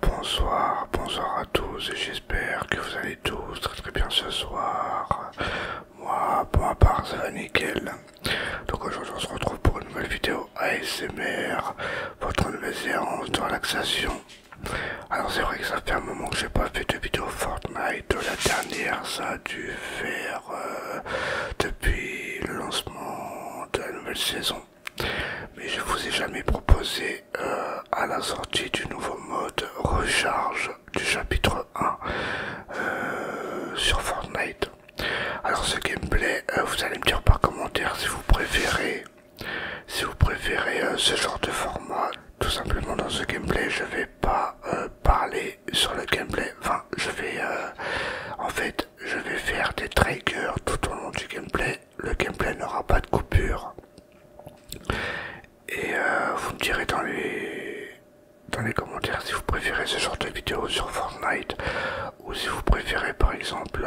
Bonsoir, bonsoir à tous et j'espère que vous allez tous très très bien ce soir. Moi, pour ma part, ça va nickel. Donc aujourd'hui, on se retrouve pour une nouvelle vidéo ASMR, votre nouvelle séance de relaxation. Alors c'est vrai que ça fait un moment que j'ai pas fait de vidéo Fortnite. La dernière ça a dû faire euh, depuis le lancement de la nouvelle saison. Mais je vous ai jamais proposé euh, à la sortie du nouveau mode recharge du chapitre 1 euh, sur Fortnite. Alors ce gameplay, vous allez me dire par commentaire si vous préférez si vous préférez euh, ce genre de format, tout simplement dans ce gameplay, je ne vais pas euh, parler sur le gameplay. Enfin, je vais, euh, en fait, je vais faire des triggers tout au long du gameplay. Le gameplay n'aura pas de coupure. Et vous me direz dans les dans les commentaires si vous préférez ce genre de vidéo sur Fortnite ou si vous préférez par exemple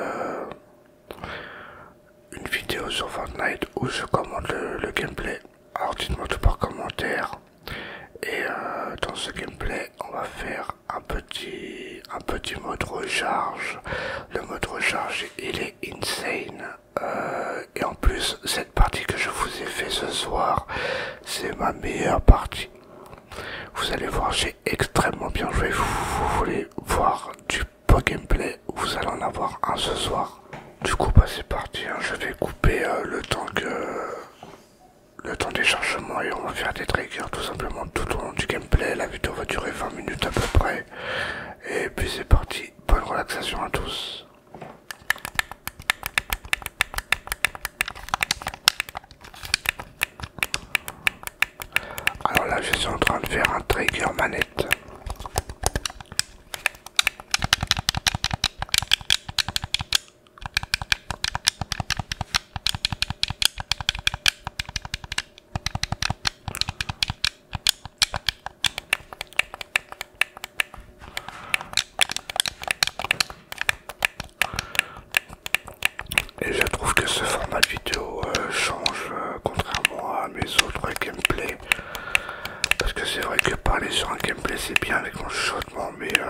une vidéo sur Fortnite où je commande le, gameplay. Alors dites-moi tout par commentaire. Et euh, dans ce gameplay, on va faire un petit, un petit mode recharge. Le mode recharge, il est insane. Euh, et en plus, cette partie que je vous ai fait ce soir, c'est ma meilleure partie. Vous allez voir, j'ai extrêmement bien joué. Vous, vous voulez voir du le gameplay, vous allez en avoir un ce soir. Du coup, bah, c'est parti, hein. je vais couper euh, le temps que. Le temps des chargements et on va faire des triggers tout simplement tout au long du gameplay. La vidéo va durer 20 minutes à peu près. Et puis c'est parti. Bonne relaxation à tous. Alors là, je suis en train de faire un trigger manette. Et je trouve que ce format de vidéo euh, change euh, contrairement à mes autres gameplays parce que c'est vrai que parler sur un gameplay c'est bien avec mon chuchotement, mais euh,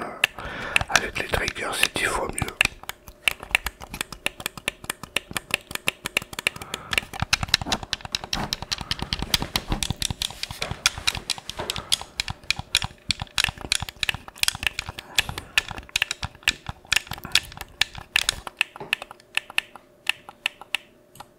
avec les triggers c'est 10 fois mieux.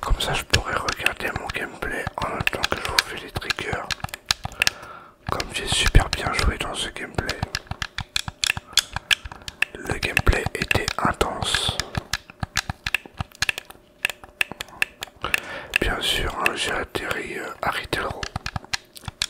Comme ça, je pourrais regarder mon gameplay en même temps que je vous fais les triggers. Comme j'ai super bien joué dans ce gameplay. Le gameplay était intense. Bien sûr, hein, j'ai atterri euh, à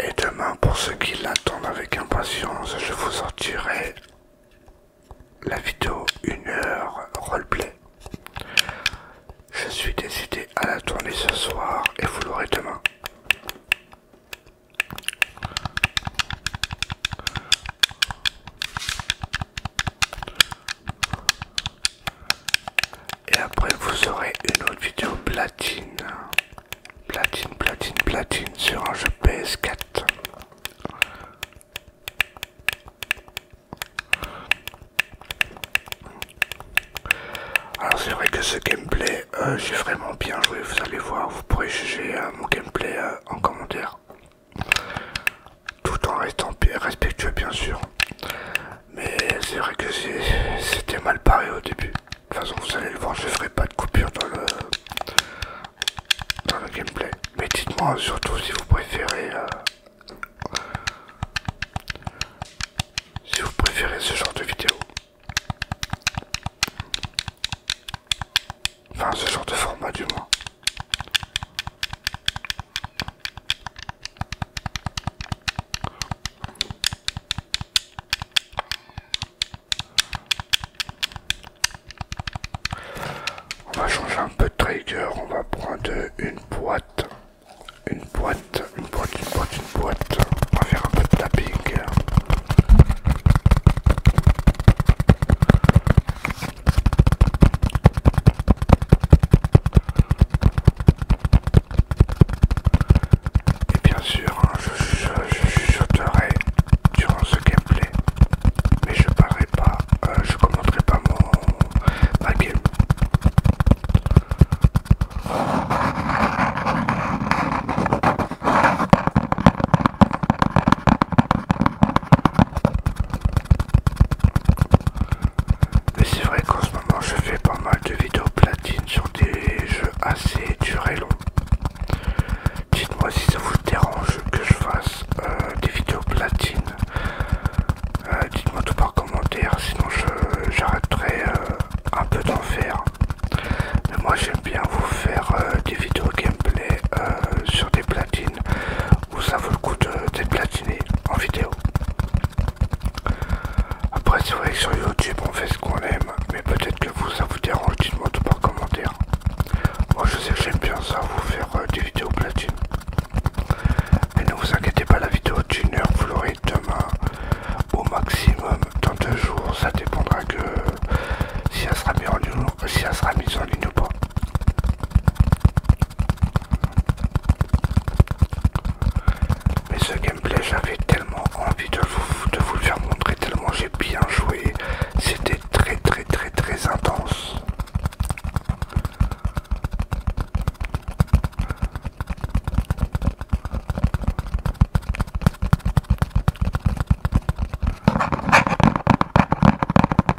Et demain, pour ceux qui l'attendent avec impatience, je vous sortirai la vidéo 1 heure roleplay. Je suis décidé à la tourner ce soir et vous l'aurez demain. Et après vous aurez une autre vidéo platine. Platine, platine, platine sur un jeu PS4. Alors c'est vrai que ce gameplay, euh, j'ai vraiment bien joué, vous allez voir, vous pourrez juger euh, mon gameplay euh, en commentaire tout en restant respectueux bien sûr. Mais c'est vrai que c'était mal paré au début. De toute façon, vous allez le voir, je ferai pas de coupure dans le, dans le gameplay. Mais dites-moi surtout si vous préférez euh, si vous préférez ce genre de vidéo. Enfin, ce genre de format du moins. On va changer un peu de trigger, on va prendre une boîte, une boîte, une boîte, une boîte, une boîte, on va faire un peu de tapping. Et bien sûr, hein, je je chuchoterai durant ce gameplay, mais je parlerai pas, euh, je commanderai pas mon ma mais c'est vrai qu'en ce moment je fais pas mal de vidéos platine sur des jeux assez dur et long Dites-moi si ça vous dérange que je fasse euh, des vidéos platine. Euh, dites-moi tout par commentaire, sinon j'arrêterai euh, un peu d'en faire. Mais moi j'aime bien vous faire des vidéos gameplay sur des platines ou ça vaut le coup de déplatiner en vidéo. Après, si vous voyez sur YouTube, on fait ce qu'on aime, mais peut-être que vous, ça vous dérange, dites-moi tout par commentaire. Moi, je sais que j'aime bien ça, vous faire euh, des vidéos platine. Et ne vous inquiétez pas, la vidéo d'une heure, vous l'aurez demain, au maximum, dans deux jours, ça dépendra que si elle sera en si elle sera mise en ligne ou pas. Mais ce gameplay, j'avais tellement envie de vous, de vous le faire montrer, tellement j'ai bien joué. C'était très très très très intense.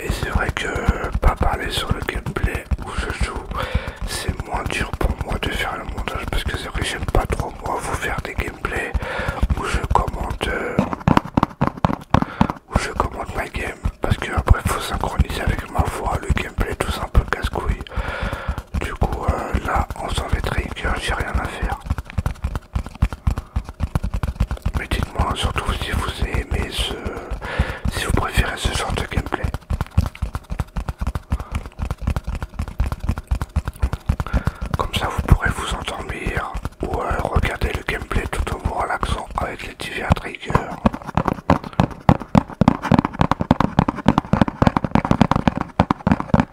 Et c'est vrai que pas parler sur le gameplay où je joue, c'est moins dur pour moi de faire le montage parce que c'est vrai que j'aime pas trop moi vous faire des gameplays où je commande euh, où je commente ma game parce que après faut synchroniser avec ma voix le gameplay tout un peu casse-couille du coup, euh, là, on s'en fait trigger, j'ai rien à faire. Mais dites-moi surtout si vous aimez ce. si vous préférez ce genre de gameplay. Comme ça, vous pourrez vous endormir ou euh, regarder le gameplay tout en vous relaxant avec les divers triggers.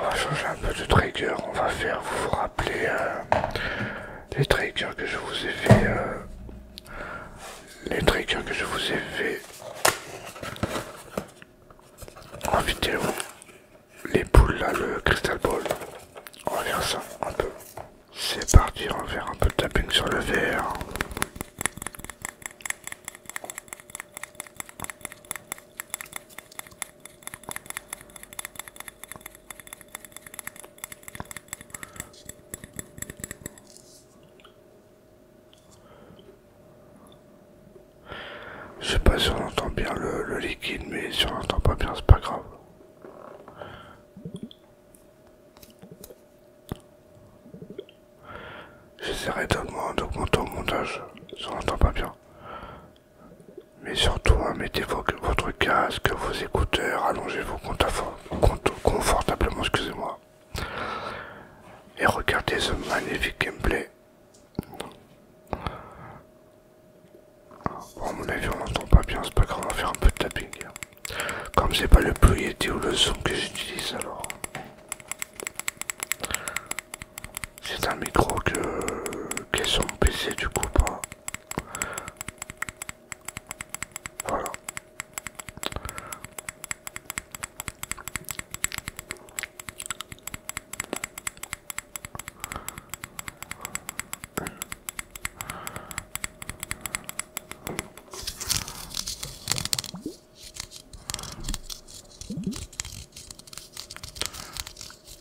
On va changer un peu de trigger. On va faire, vous vous rappelez, euh, les triggers que je vous ai fait. Euh, les triggers que je vous ai fait en vidéo. Les poules là, le crystal ball. On va faire ça un peu. C'est parti, on va faire un peu de tapping sur le verre. Je sais pas si on entend bien le, liquide, mais si on n'entend pas bien, c'est pas grave. J'essaierai d'augmenter au montage si on n'entend pas bien. Mais surtout, hein, mettez votre casque, vos écouteurs, allongez-vous confortablement, excusez-moi. Et regardez ce magnifique gameplay. Bon, mon avis, on n'entend pas bien, c'est pas grave, on va faire un peu de tapping. Hein. Comme c'est pas le plus ou le son que j'utilise, alors. C'est un micro que qui est PC du coup Voilà.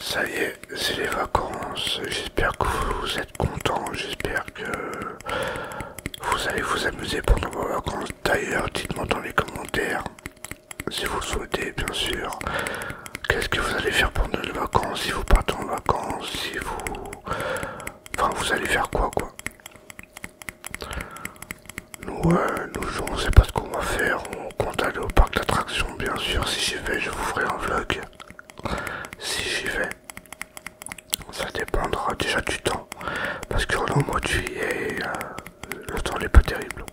Ça y est, c'est les vacances. J'espère que vous êtes contents. J'espère que vous allez vous amuser pendant vos vacances. D'ailleurs, dites-moi dans les commentaires, si vous le souhaitez, bien sûr, Qu'est-ce que vous allez faire pour les vacances Si vous partez en vacances, si vous... Enfin, vous allez faire quoi, quoi Nous, euh, nous, on sait pas ce qu'on va faire. On compte aller au parc d'attractions, bien sûr. Si j'y vais, je vous ferai un vlog. Si j'y vais. Ça dépendra déjà du temps. Parce que là, au mois de juillet, euh, le temps n'est pas terrible.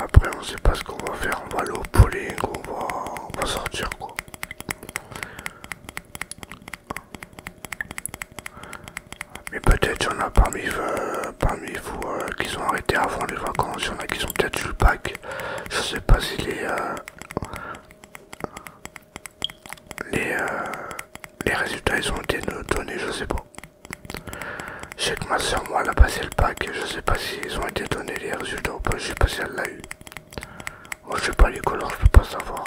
Après, on sait pas ce qu'on va faire. On va aller au polling, on va, on va sortir quoi. Mais peut-être il y en a parmi, euh, parmi vous euh, qui sont arrêtés avant les vacances, il y en a qui sont peut-être sur le pack. Je sais pas si les. Euh, les, les résultats ils ont été donnés, je sais pas. Je que ma soeur, moi, la a passé pack. Je sais pas si ils ont été donnés les résultats ou pas. Je sais pas si elle l'a eu. Moi, je sais pas les couleurs, je peux pas savoir.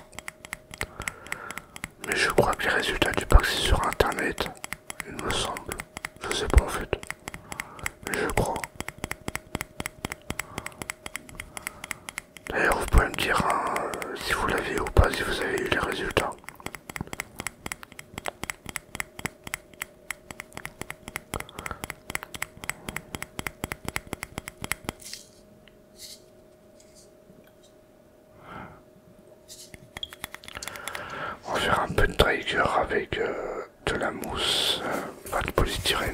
Mais je crois que les résultats du pack, c'est sur internet. Il me semble. Je sais pas en fait. Mais je crois. D'ailleurs, vous pouvez me dire hein, si vous l'avez ou pas, si vous avez eu les résultats. On va faire un peu de trigger avec euh, de la mousse, euh, pas de polystyrène.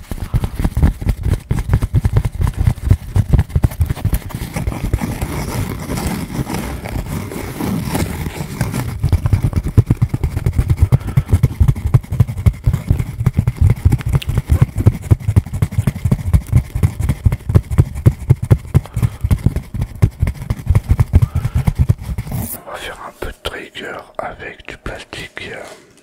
On va faire un peu de trigger avec du plastique.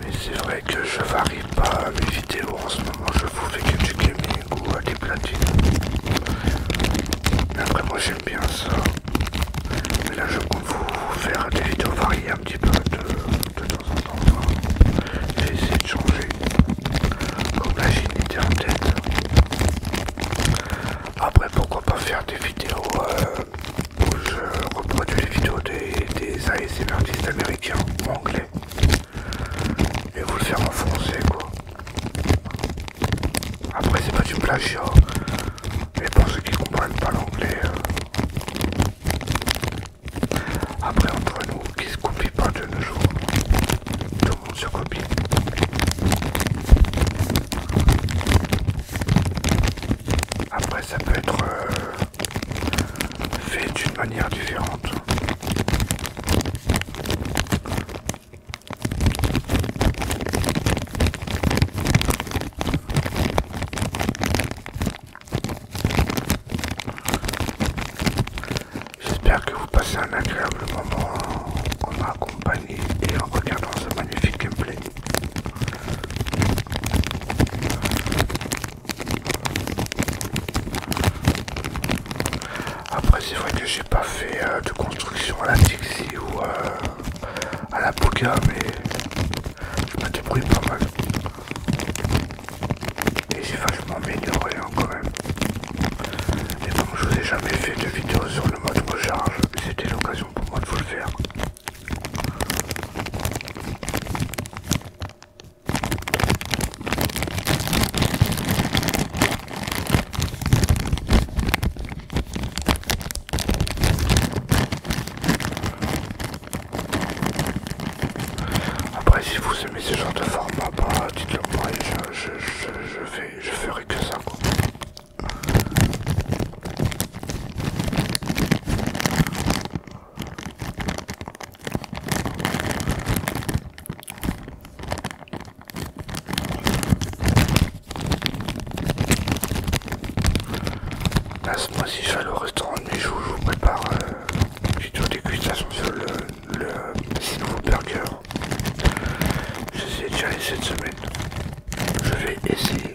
Mais c'est vrai que je varie pas mes vidéos en ce moment, je vous fais que du gaming ou à des platines. Après moi j'aime bien ça. Mais là je compte vous faire des vidéos variées un petit peu de, temps en temps. J'ai hein. essayé de changer. Comme la en tête. Après pourquoi pas faire des vidéos euh, je reproduis les vidéos des, des artistes américains en anglais et vous le faire en quoi. Après c'est pas du plagiat, mais pour ceux qui comprennent pas l'anglais. Euh. Après entre nous, qui se copie pas de nos jours, tout le monde se copie. Après, ça peut être euh, fait d'une manière différente. J'espère que vous passez un agréable moment en, en et en regardant ce magnifique gameplay. Après c'est vrai que j'ai pas fait euh, de construction à la Tixi ou euh, à la Bouga mais je m'en débrouille pas mal. Et j'ai vachement amélioré hein, quand même. Et comme je vous ai jamais fait de vidéo sur le mode recharge, c'était l'occasion pour moi de vous le faire. Après si vous aimez ce genre de format, bah, dites-le moi je, je, je, fais, je ferai que ça quoi. Là, ce mois-ci, je vais aller au restaurant de mes je vous prépare euh, un petit toujours sur le, nouveau burger. J'essaie déjà aller cette semaine. Je vais essayer.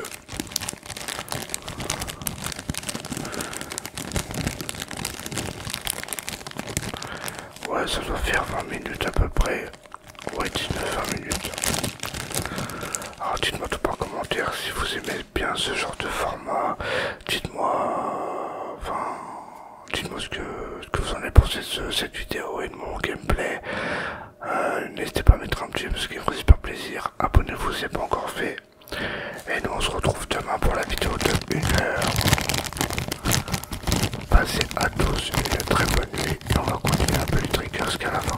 Ouais, ça doit faire 20 minutes à peu près. Ouais, 19-20 minutes. Alors ah, dites-moi tout par commentaire si vous aimez bien ce genre de format. Dites-moi... Enfin... Dites-moi ce que, vous en avez pensé de cette vidéo et de mon gameplay. Euh, n'hésitez pas à mettre un petit ce qui me fait super plaisir. Abonnez-vous si ce n'est pas encore fait. Et nous on se retrouve demain pour la vidéo de 1 heure. Passez à tous une très bonne nuit et on va continuer un peu les triggers qu'à la fin.